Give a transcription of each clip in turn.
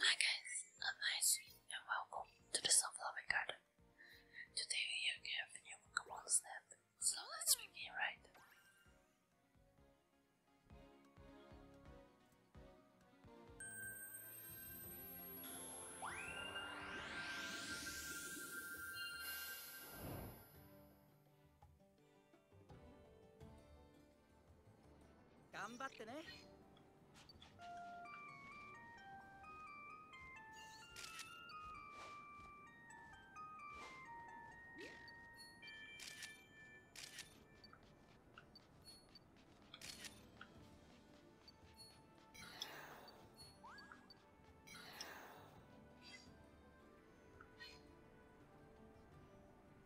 Hi guys, I'm Nice and welcome to the Sunflower Garden. Today you are going to new Pokemon Snap, so let's begin right. 頑張ってね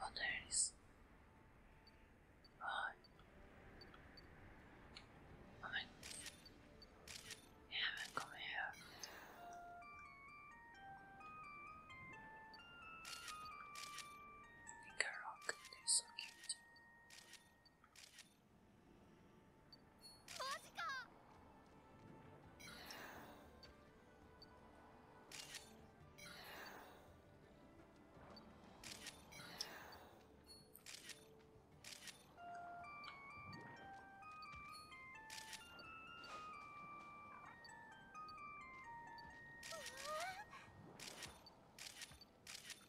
Oh, there is. it is. I haven't come here. Think a rock, they're so cute. マジかうわ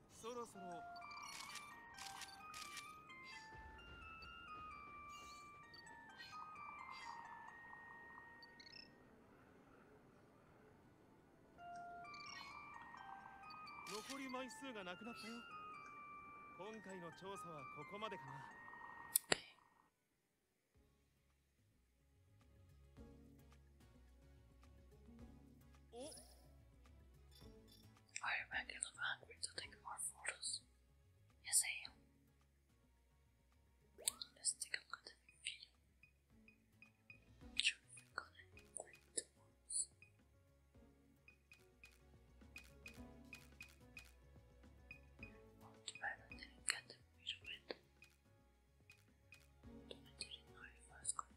そろそろ残り枚数がなくなったよ今回の調査はここまでかな Are you regular hungry to take more photos? Yes, I am. Let's take a look at the video. we're the ones. Well, not get the video in. I didn't know if I was going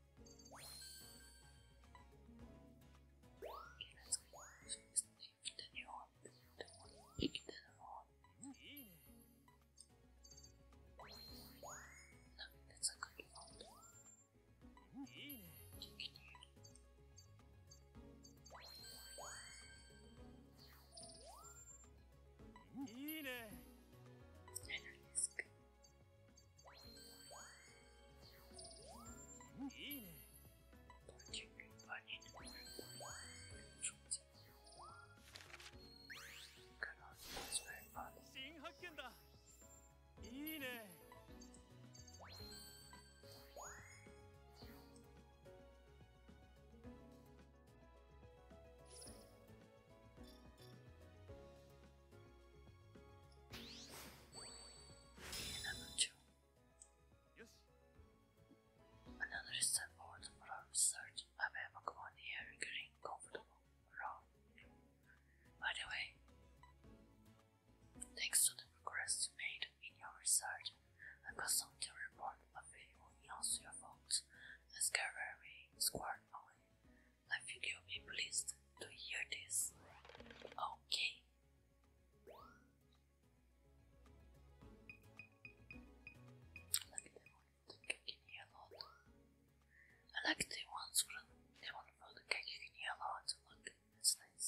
Okay, let's go first. Lift the new one, the one, pick the one. No, that's a good one. Kick it here. Another disc. いいね新発見だいいね Okay, number two. Yes. Another step forward for our research. I have a Pokemon here getting comfortable around. By the way, thanks to the progress you made in your research, I've got something to report a video in also your fault. Let's get very squared away. I think you'll be pleased to hear this. Okay. I like the one for the cake in yellow. I like the ones for the, the one for the cake in yellow. It's look, it's nice.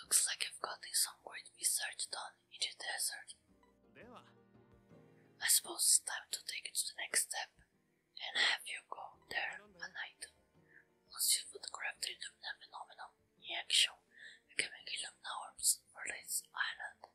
Looks like I've gotten some great research done in the desert. I suppose it's time to take it to the next step and have you go there at night. Once you photograph the Illumina phenomenon in action, you can make Illumina orbs for this island.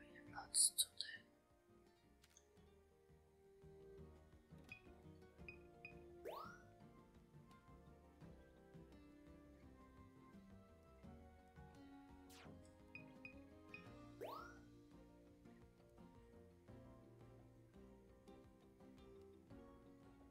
Really lots to do.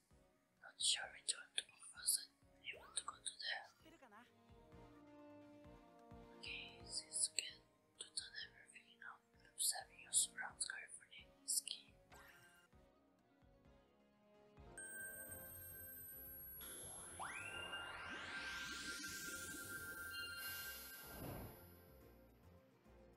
is not sure which one to You want to go to there? Okay, since can do done everything you now, observing your surrounds carefully is key.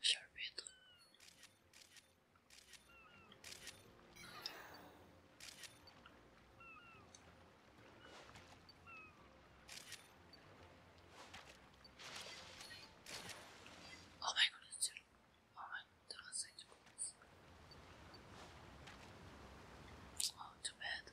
sherbet. Oh my goodness, oh my goodness, oh too bad.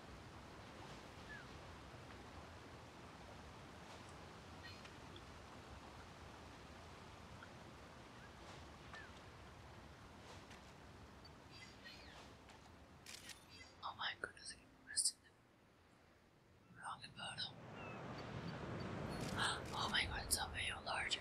Oh my goodness, I wrong bottom. Oh my god, it's a way larger.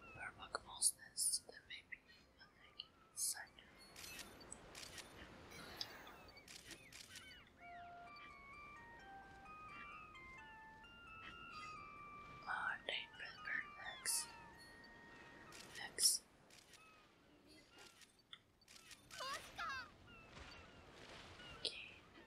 Burbuck most nests there may be a lake inside. Are they Okay,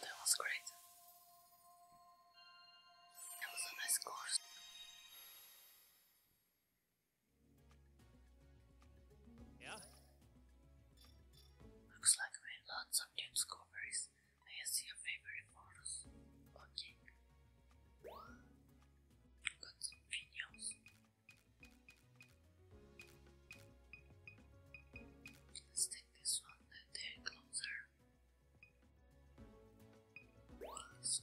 That was great. That was a nice course. Yeah? Looks like we had lots of new discoveries. I see your favorite reforms logic. Let's take this one a day closer. This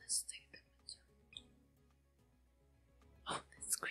let's take the material. Oh, that's great.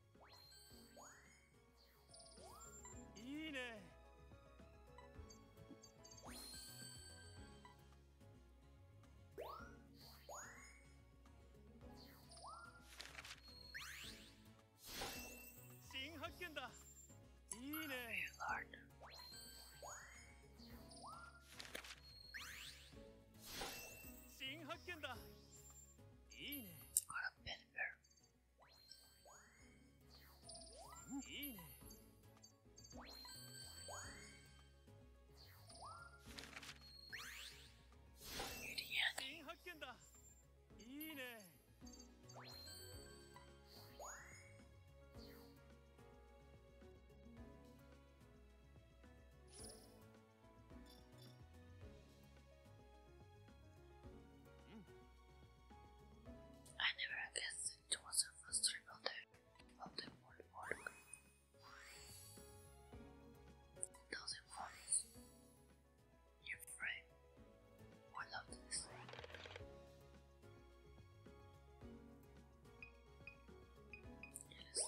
いいね新発見だいいね新発見だ Got a pen bear. I never guessed it was the first rebuilder of the World War. Those informers, your friend, I love this. Yes.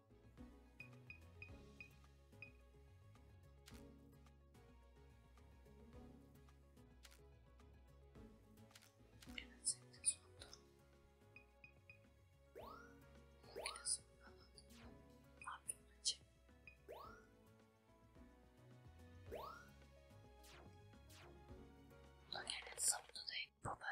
Grazie sotto Grazie anche invece non è nel solito tempo